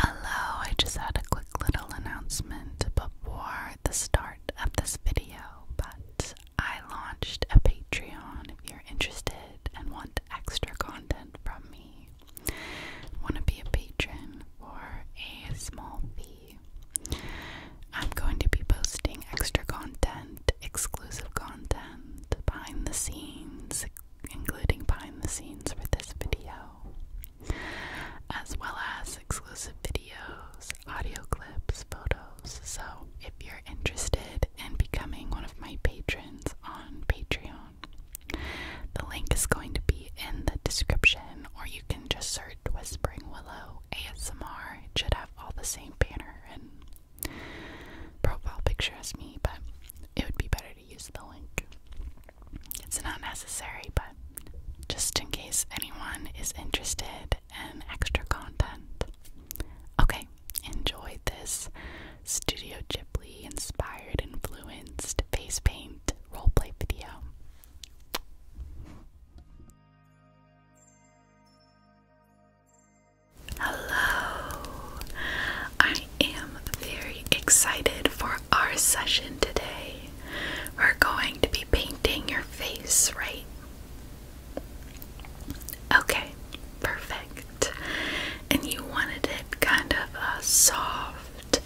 Hello, I just had a quick little announcement before the start of this video, but I launched a Patreon if you're interested and want extra content from me. Want to be a patron for a small fee. I'm going to be posting extra content, exclusive content, behind the scenes, including behind the scenes for this video, as well as exclusive videos, audio clips, photos. So, if you're interested in becoming one of my patrons on Patreon, the link is going to be in the description, or you can just search Whispering Willow ASMR. It should have all the same banner and profile picture as me, but it would be better to use the link. It's not necessary, but just in case anyone is interested in extra content. Okay, enjoyed this Studio Ghibli inspired, influenced face paint roleplay video. Hello! I am very excited for our session today. We're going to be painting your face, right? Okay, perfect. And you wanted it kind of a soft,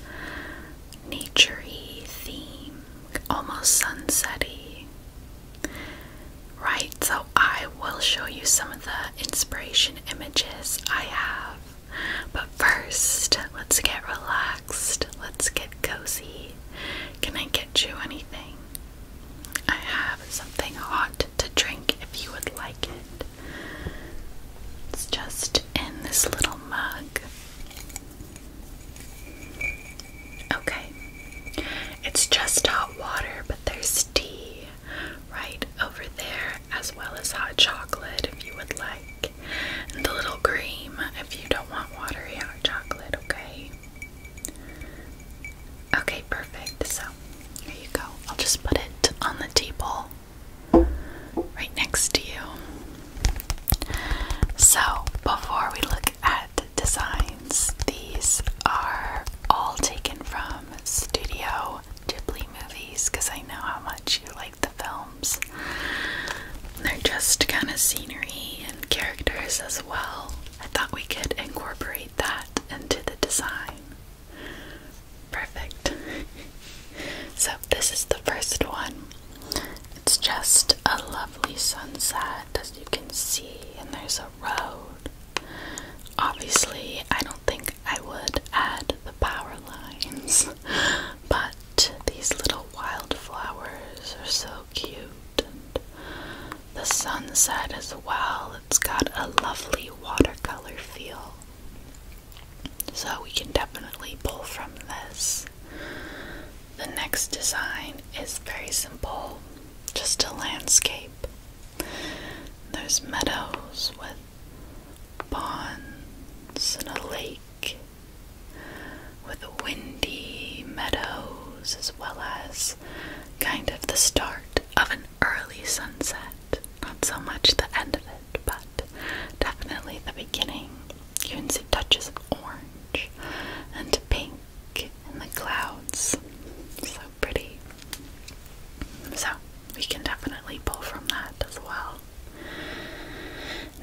naturey theme, almost sunsetty. Right, so I will show you some of the inspiration images I have but first, let's get relaxed. Let's get cozy. Can I get you anything? I have something hot to drink if you would like it. It's just in this little mug. Okay. It's just hot water, but there's tea right over there as well as hot chocolate if you would like, and a little cream if you don't want watery hot chocolate, okay? Okay, perfect. So, here you go. I'll just put it on the table right next to you. So, before we look at designs, these are all taken from Studio Ghibli movies because I know how much you like the films. They're just kind of scenery and characters as well. I thought we could incorporate that into the design. Perfect. so, this is the first one. It's just a lovely sunset as you can see, and there's a road. Obviously, I don't think I would add the power lines, but these little wildflowers are so cute, the sunset as well. It's got a lovely watercolor feel. So we can definitely pull from this. The next design is very simple, just a landscape. There's meadows with ponds and a lake with windy meadows as well as kind of the start of an early sunset. Not so much the end of it, but definitely the beginning. You can see touches of orange and pink in the clouds. So pretty. So we can definitely pull from that as well.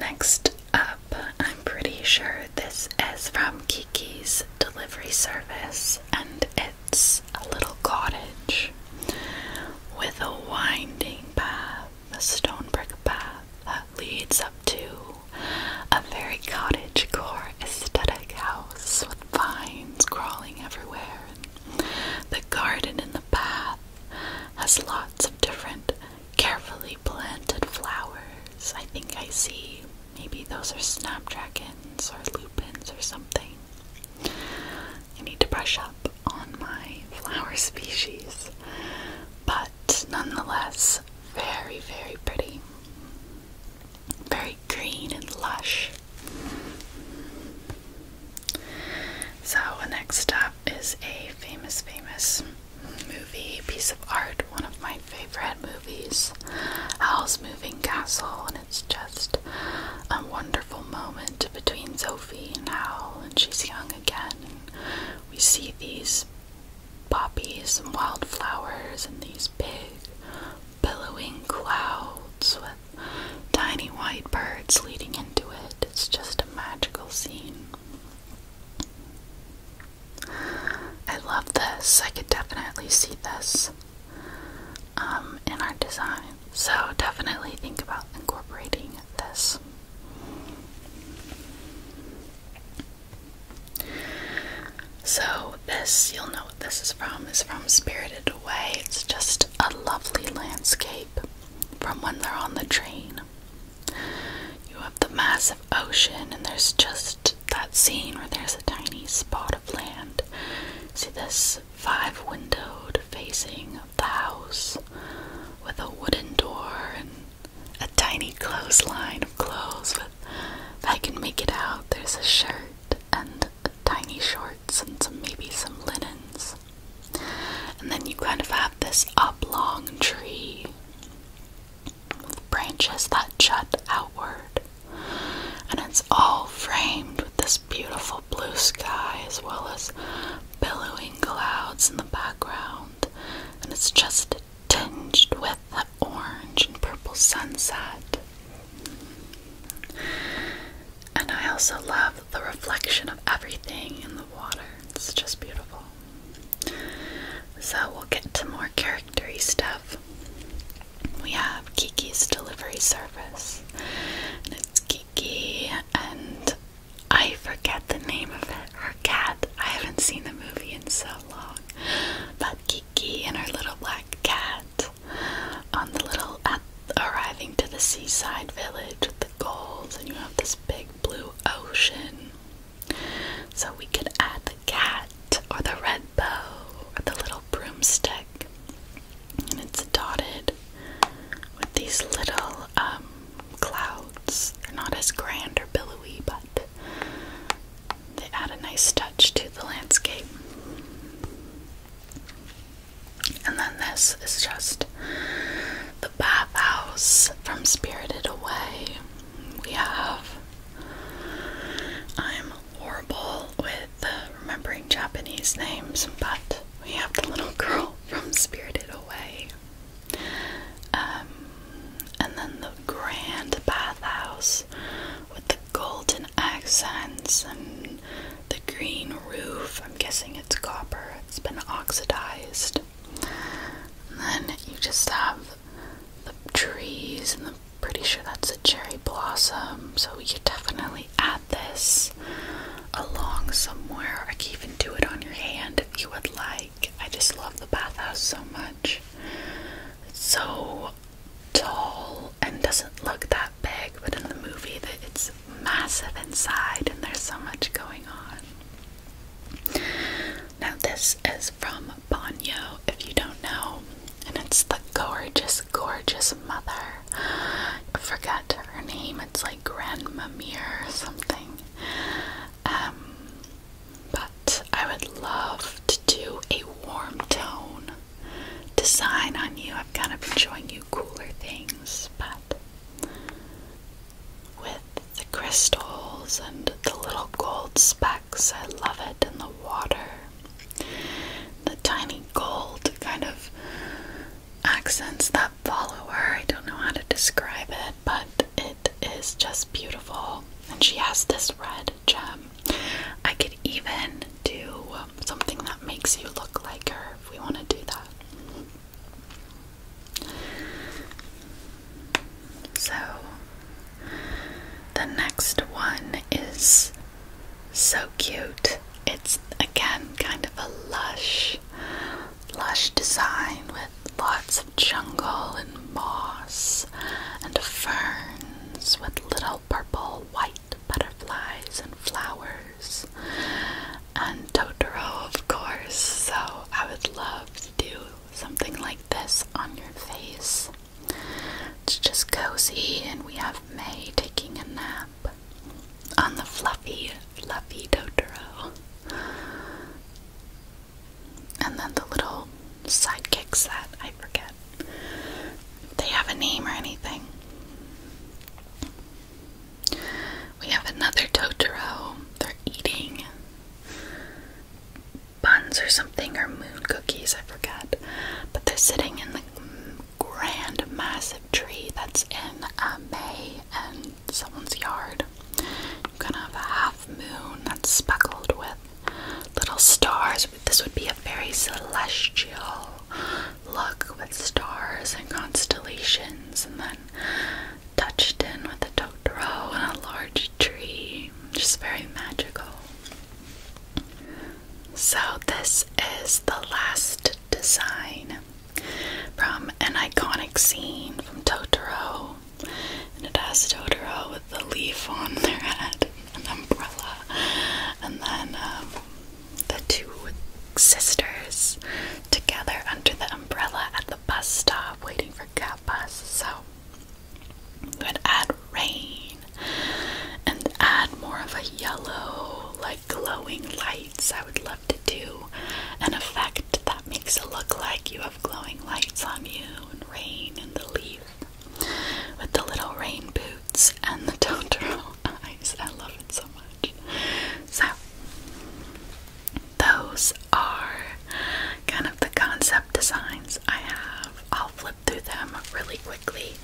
Next up, I'm pretty sure this is from Kiki's delivery service, and it's a little cottage with a winding path, a stone brick path that leads up to a very cottage core aesthetic house with vines crawling everywhere. The garden in the path has lots of different carefully planted flowers. I think I see maybe those are snapdragons or lupins or something. I need to brush up on my flower species, but nonetheless, very, very pretty. Very green and lush. So, next up, is a famous, famous movie, piece of art, one of my favorite movies, Howl's Moving Castle, and it's just a wonderful moment between Sophie and Howl, and she's young again, and we see these poppies and wildflowers and these big billowing clouds with tiny white birds words leading into it. It's just a magical scene. I love this. I could definitely see this um, in our design. So definitely think about incorporating this. So this, you'll know what this is from, is from Spirited Away. It's just a lovely landscape from when they're on the train you have the massive ocean, and there's just that scene where there's a tiny spot of land. See this five windowed facing of the house with a wooden door and a tiny clothesline of clothes with I can make it out, there's a shirt and tiny shorts and some maybe some linens. And then you kind of have this oblong tree with branches that jut outward. And it's all framed with this beautiful blue sky as well as billowing clouds in the background. And it's just tinged with that orange and purple sunset. And I also love the reflection of everything in the water. It's just beautiful. So we'll get to more charactery stuff. We have Kiki's delivery service. it's Kiki and I forget the name of Her cat. I haven't seen the movie in so long. But Kiki and her little black cat on the little arriving to the seaside village goals, and you have this big blue ocean. So we could add the cat, or the red bow, or the little broomstick. And it's dotted with these little um, clouds. They're not as grand or billowy, but they add a nice touch to the landscape. And then this is just the bathhouse from Spirited Away. We have. I'm horrible with remembering Japanese names, but we have the little girl from Spirited Away. Um, and then the grand bathhouse with the golden accents and the green roof. I'm guessing it's copper, it's been oxidized then you just have the trees, and I'm pretty sure that's a cherry blossom. So we could definitely add this along somewhere. I can even do it on your hand if you would like. I just love the bathhouse so much. It's so tall and doesn't look that big, but in the movie, that it's massive inside, and there's so much going on. Now, this is from Bonio, if you don't know, and it's the gorgeous, gorgeous mother. I forgot her name, it's like Grandmamir or something. Um, but I would love to do a warm tone design on you. I've kind of been showing you cooler things, but with the crystals and the little gold specks. I love it in the water. The tiny gold kind of accents that follow her I don't know how to describe it, but it is just beautiful. And she has this red gem. I could even do something that makes you look like her if we want to do that. So the next one is so cute. It's again kind of a lush, lush design with lots of jungle and moss and ferns with little purple, white butterflies and flowers and Totoro, of course. So I would love to do something like this on your face. It's just cozy, and we have May taking a nap on the fluffy, fluffy Totoro. And then the little sidekicks that I forget. They have a name or anything. We have another Totoro. They're eating buns or something, or moon cookies, I forget. But they're sitting in the grand, massive tree that's in a uh, May and someone's yard. You're a half moon that's speckled with little stars. This would be a very celestial look with stars and constellations, and then touched in with a totoro and a large tree. Just very magical. So, this is the last design from an iconic scene from Totoro. And it has Totoro with the leaf on their head, an umbrella, and then um, the two sisters together under the umbrella at the bus stop waiting for cat bus. So I'm add rain and add more of a yellow, like glowing lights. I would love to do an effect that makes it look like you have glowing lights on you and rain in the leaf with the little rain boots and the Totoro eyes. I love it so much. So those are kind of the concept designs I have. I'll flip through them really quickly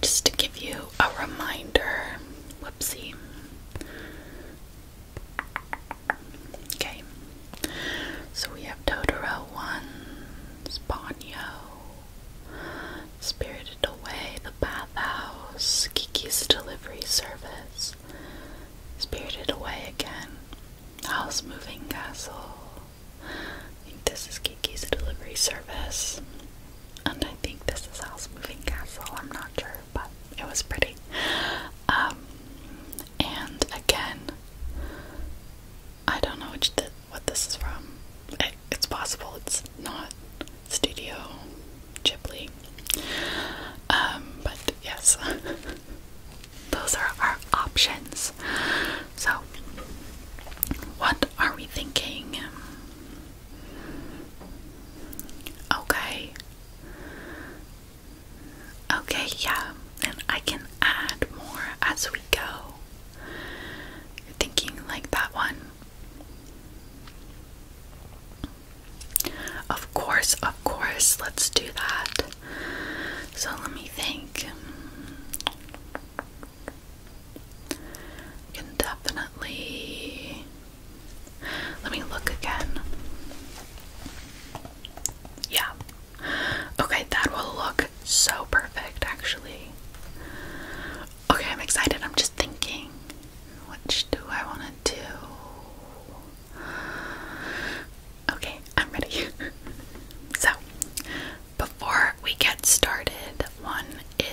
just to give you a reminder. Whoopsie. Okay. So we have Totoro 1, Ponyo, Spirited Away, The Bathhouse, Kiki's Delivery Service, spirited away again. House moving castle. I think this is Kiki's delivery service. And I think this is House Moving Castle. I'm not sure, but it was pretty. Um, and again, I don't know what this is from. it's possible it's not Studio Chipley, um, but yes, those are our options. So, what are we thinking? Okay. Okay, yeah, and I can add more as we go. thinking like that one. Of course, of course, let's do that. So let me think. Can definitely. Let me look again. Yeah. Okay, that will look so perfect actually. Okay, I'm excited. I'm just thinking. Which do I want to do? Okay, I'm ready. so, before we get started, one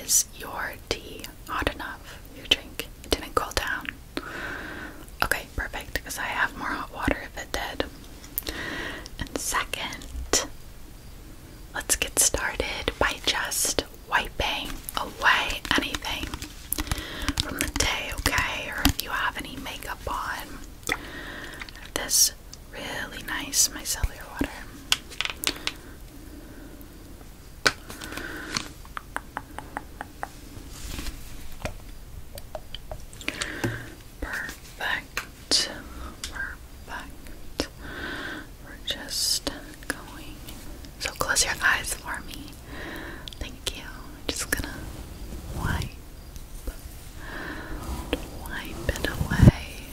is your tea hot enough? Your drink didn't cool down. Okay, perfect, because I have more hot water if it did. And second, let's get started by just wiping away anything from the day, okay? Or if you have any makeup on. This really nice micellar water. Perfect. Perfect. We're just going. So close your eyes for me. Thank you. just gonna wipe, wipe it away.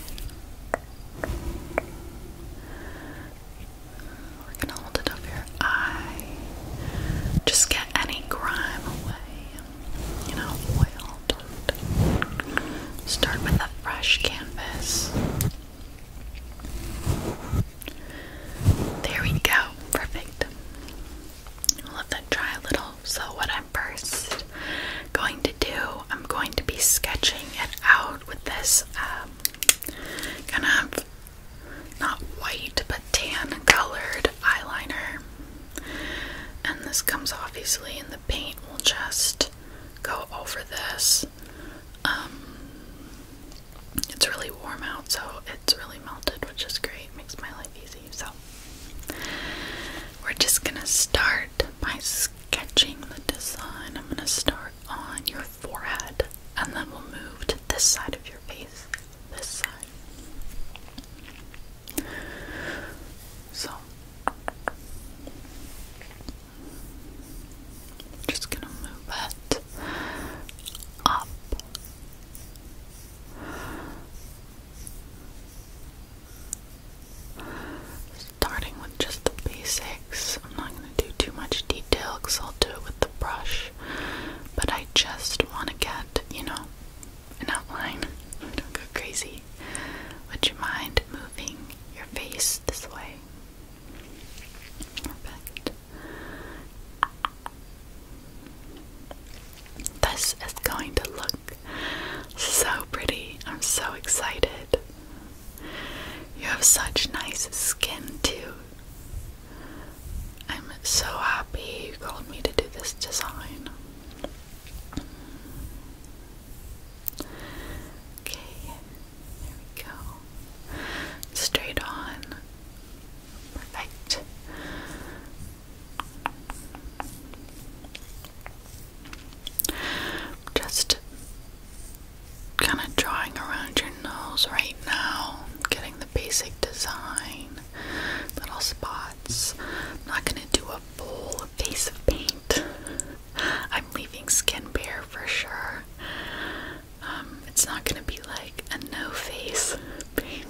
We're gonna hold it over your eye. Just get any grime away. You know, oil. Start with a fresh canvas. There we go. Perfect. We'll have a little. So, what I'm first going to do, I'm going to be sketching it out with this um, kind of not white but tan colored eyeliner. And this comes off easily, and the paint. will just go over this. Um, it's really warm out, so it's really melted, which is great. makes my life easy. So we're just gonna start by sketching the design. I'm gonna start on your forehead, and then we'll move to this side of your face. This side. So just gonna move it up Starting with just the basics, I'm not going to do too much detail because I'll do it with the brush, but I just want to get, you know, an outline. Don't go crazy. Would you mind moving your face this way? Perfect. This is going to look so pretty. I'm so excited. You have such nice skin, too. I'm so happy you called me to do this design. Okay, there we go. Straight on. Perfect. Just kind of drawing around your nose right now, getting the basic design, little spots. not going to do a full face of paint. I'm leaving skin bare for sure. Um, it's not gonna be like a no face paint.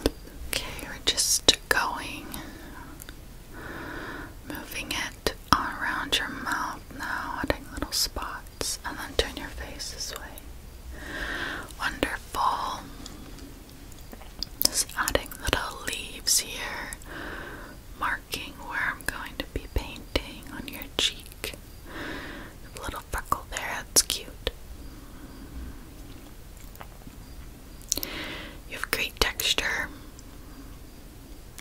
Okay, we're just going, moving it around your mouth now, adding little spots, and then turn your face this way. Wonderful. Just adding little leaves here, marking where I'm going to be painting on your cheek. Little freckle there, that's cute. You have great texture.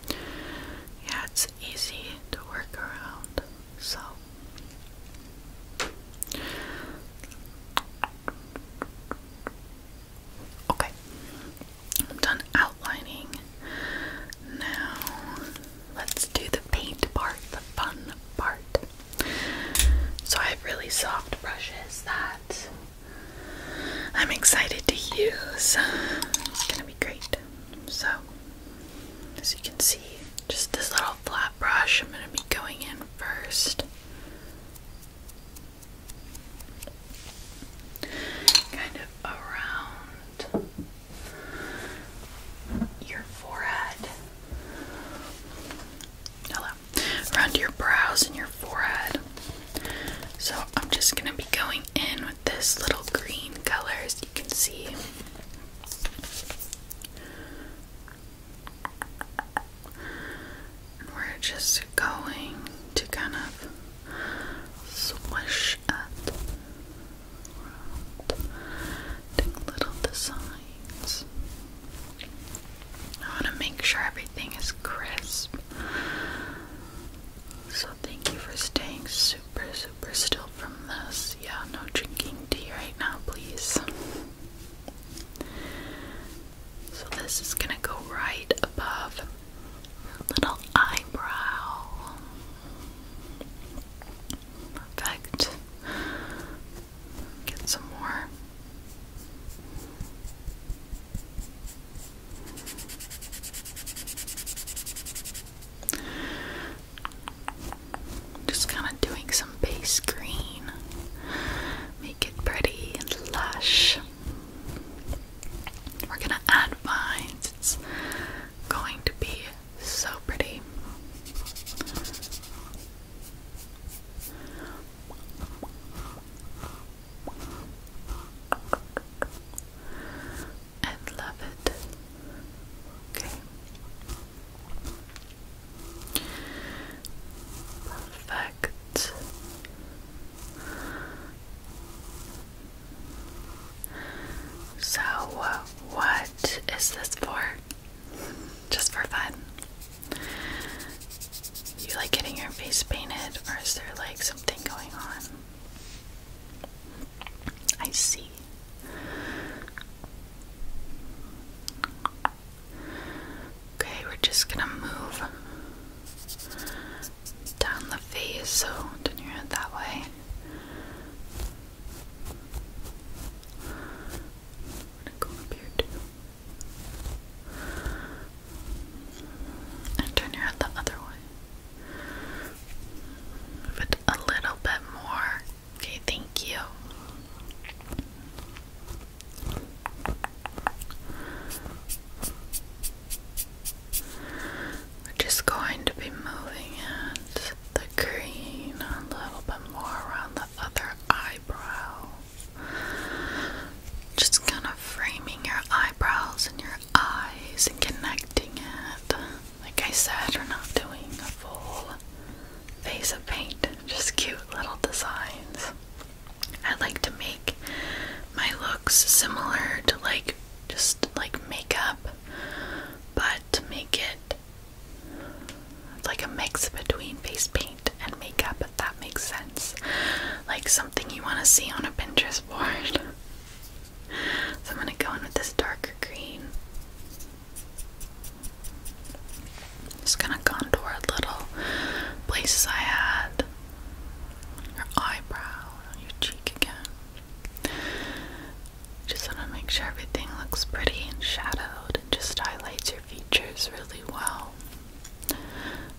Yeah, it's easy to work around. So, okay, done outlining. Now, let's do the paint part, the fun part. So I have really soft brushes that I'm excited to use. It's gonna be great. So, as you can see, just this little flat brush, I'm gonna be going in first. Kind of around your forehead around your brows and your forehead. So I'm just gonna be going in with this little green color, as you can see. we're just going to kind of swish it around, little designs. I want to make sure everything is crisp. So, thank you for staying super, super still from this. Yeah, no drinking tea right now, please. So, this is going to go right above little eyebrow. Perfect. Get some more. Just kind of doing some base green. Make it pretty and lush. We're gonna add vines. It's going to be so pretty and love it. Okay. Perfect. So, uh, what is this for? Just for fun. You like getting your face painted, or is there like something going on? I see. Okay, we're just gonna move down the face, so turn your head that way go up here too. And turn your head the other way. Move a little bit more. Okay, thank you. We're just going to be moving it, the green, a little bit more around the other eyebrow. Just kind of framing your eyebrows and your eyes and connecting it. Like I said, we're not doing a full face of paint, just cute little designs. I like to make my looks similar to like just like makeup, but to make it it's like a mix between face paint and makeup, if that makes sense. Like something you want to see on a Pinterest board. so I'm going to go in with this darker green. Just gonna contour little places I had. Your eyebrow, your cheek again. Just wanna make sure everything looks pretty and shadowed and just highlight features really well.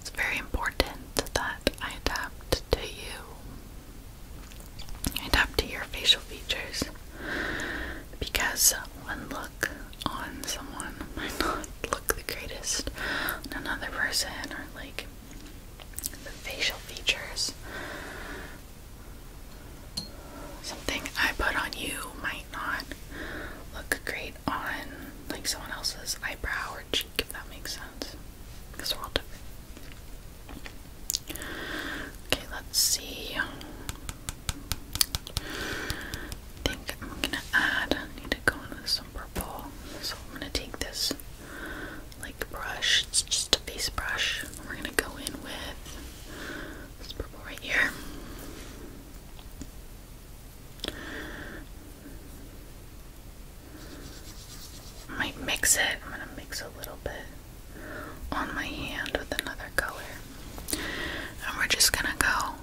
It's very important that I adapt to you. I adapt to your facial features because one look on someone might not look the greatest on another person or like the facial features. Something I put on you might not look great on like someone else's eyebrow or cheek, if that makes sense. Because we Okay, let's see. I think I'm gonna add, I need to go in with some purple. So I'm gonna take this like brush, it's just a face brush. We're gonna go in with this purple right here. Might mix it. I'm gonna mix a little bit on my hand with another color. And we're just gonna go.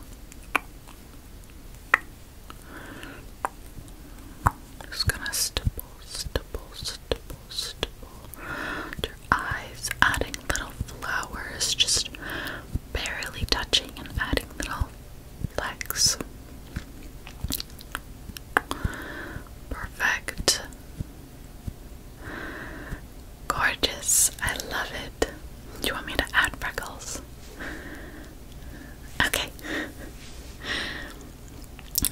Just gonna stipple, stipple, stipple, stipple eyes, adding little flowers, just barely touching and adding little flecks. Perfect. Gorgeous. I love it. Do you want me to add freckles? Okay.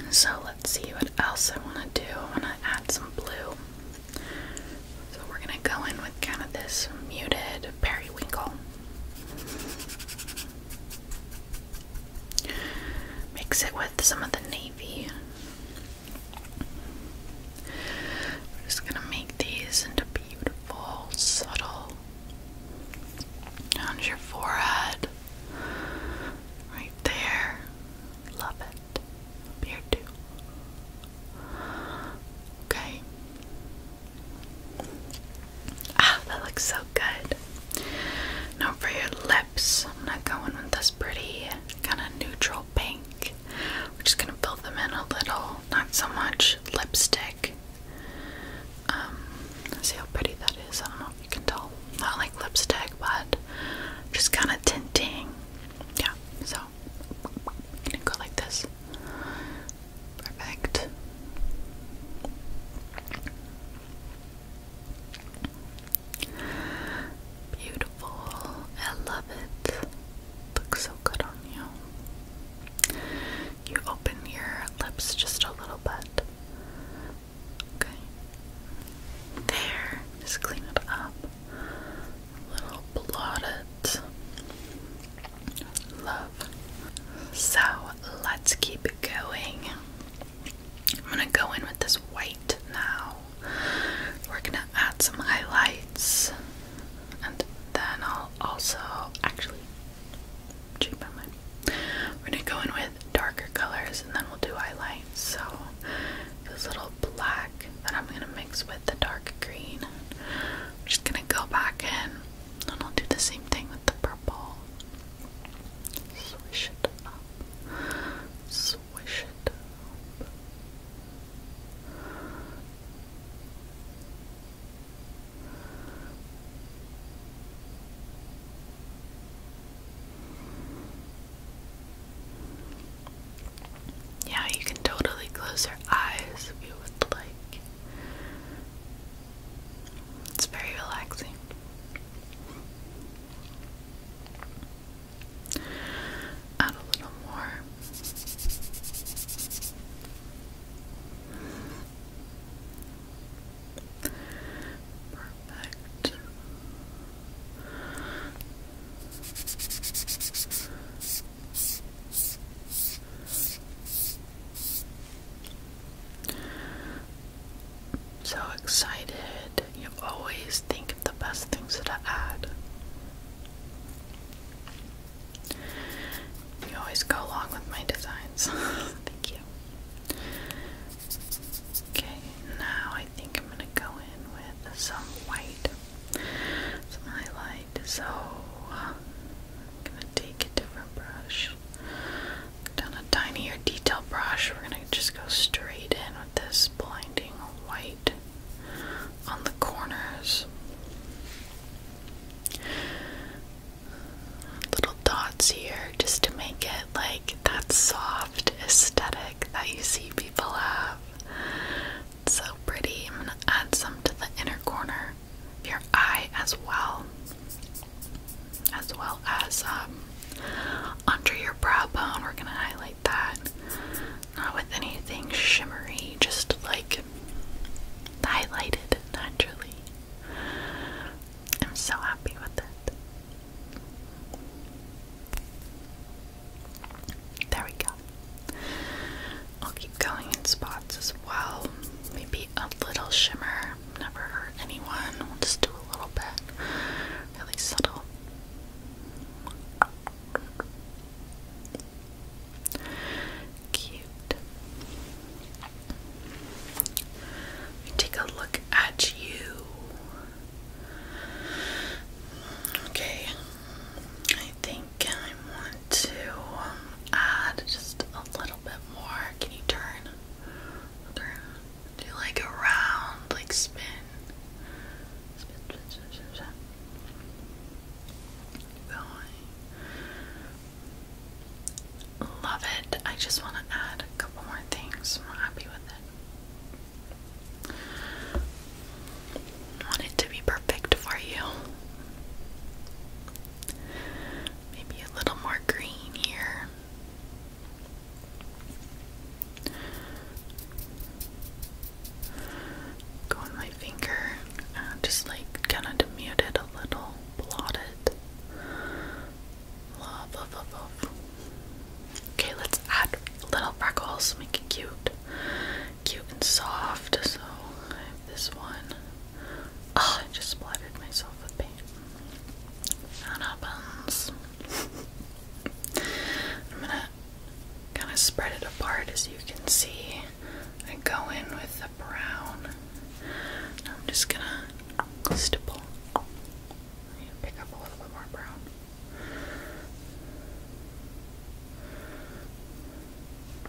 So let's see what else I want to do. I want to add some blue. So we're gonna go in with kind of this muted periwinkle. Mix it with some of the navy. just gonna make these into beautiful, subtle on your forehead. Right there. Love it. Here too. Okay. Ah, that looks so good. Now for your lips, I'm not going with this pretty kind of neutral pink. We're just gonna fill them in a little, not so much lipstick. Um, see how pretty that is. I don't know if you can tell. Not like lipstick, but just kind of tinting. Yeah, so i gonna go like this. Perfect. Beautiful. I love it. Looks so good on you. You open your lips just a little bit. Okay. There. Just clean it up little blotted love. So let's keep going. I'm gonna go in with this white now. We're gonna add some highlights and then I'll also actually cheap my mind. We're gonna go in with darker colors and then we'll do highlights. So this little black that I'm gonna mix with the dark green. I'm just gonna go back in and I'll do the same thing with the purple. Swish it up. Swish it yeah, you can totally close your eyes if you would like. It's very relaxing. Add a little more. Perfect. So excited. You always think of the best things to add. You always go along with my designs. Thank you. Okay, now I think I'm gonna go in with some white, some highlight so I'm gonna take a different brush. Done a tinier detail brush. We're gonna just go straight in with this blinding white on the corners. Little dots here just to make it like that soft aesthetic that you see people have so pretty. I'm gonna add some to the inner corner of your eye as well, as well as um, under your brow bone. We're gonna highlight that, not with anything shimmery, just like highlighted naturally. I'm so happy with it. There we go. I'll keep going in spots as well. Maybe a little shimmer. Never hurt anyone. We'll just do a little bit. Really subtle. Cute. We take a look at you. Okay, I think I want to um, add just a little bit more. Can you turn? Do like a round, like Spin, spin, spin, spin, spin. Going. Love it. I just want to add a couple more things. I'm happy with it want it to be perfect for you. Maybe a little more green here. Go on my finger, just like kind of demute a little, blot Okay, let's add little freckles, make it cute cute and soft. So I have this one. Oh, I just splattered myself with paint. That happens. I'm gonna kind of spread it apart as you can see. I go in with the brown. I'm just gonna stipple. I'm pick up a little bit more brown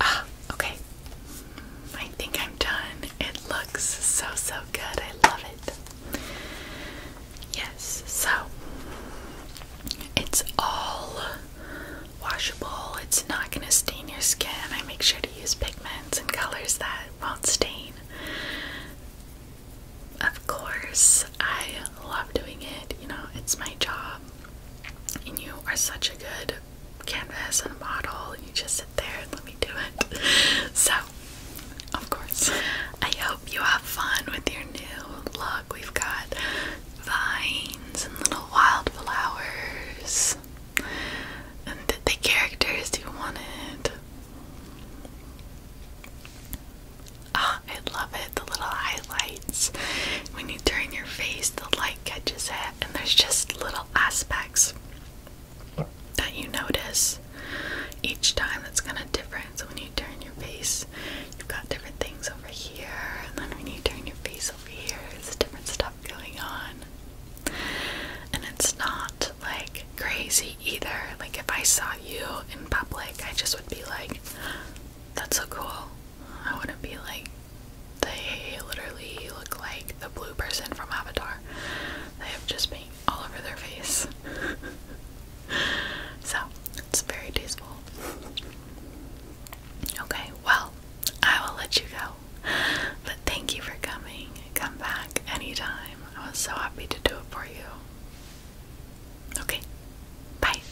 Ah, okay. I think I'm done. It looks so, so good. I love it. Yes, so it's all washable. It's not going to stain your skin. I make sure to use pigments and colors that won't stain. Of course, I love doing it. You know, it's my job and you are such a good canvas and model you just sit there and let me do it so of course i hope you have fun with your new look we've got vines and little wildflowers and the characters you wanted oh ah, i love the little highlights. When you turn your face, the light catches it, and there's just little aspects that you notice each time It's kind of different. So when you turn your face, you've got different things over here, and then when you turn your face over here, there's different stuff going on. And it's not like crazy either. Like if I saw you in public, I just would be like, that's so cool. I wouldn't be like, they literally look like the blue person from Avatar. They have just paint all over their face. so, it's very tasteful. Okay, well, I will let you go. But thank you for coming. Come back anytime. I was so happy to do it for you. Okay, bye.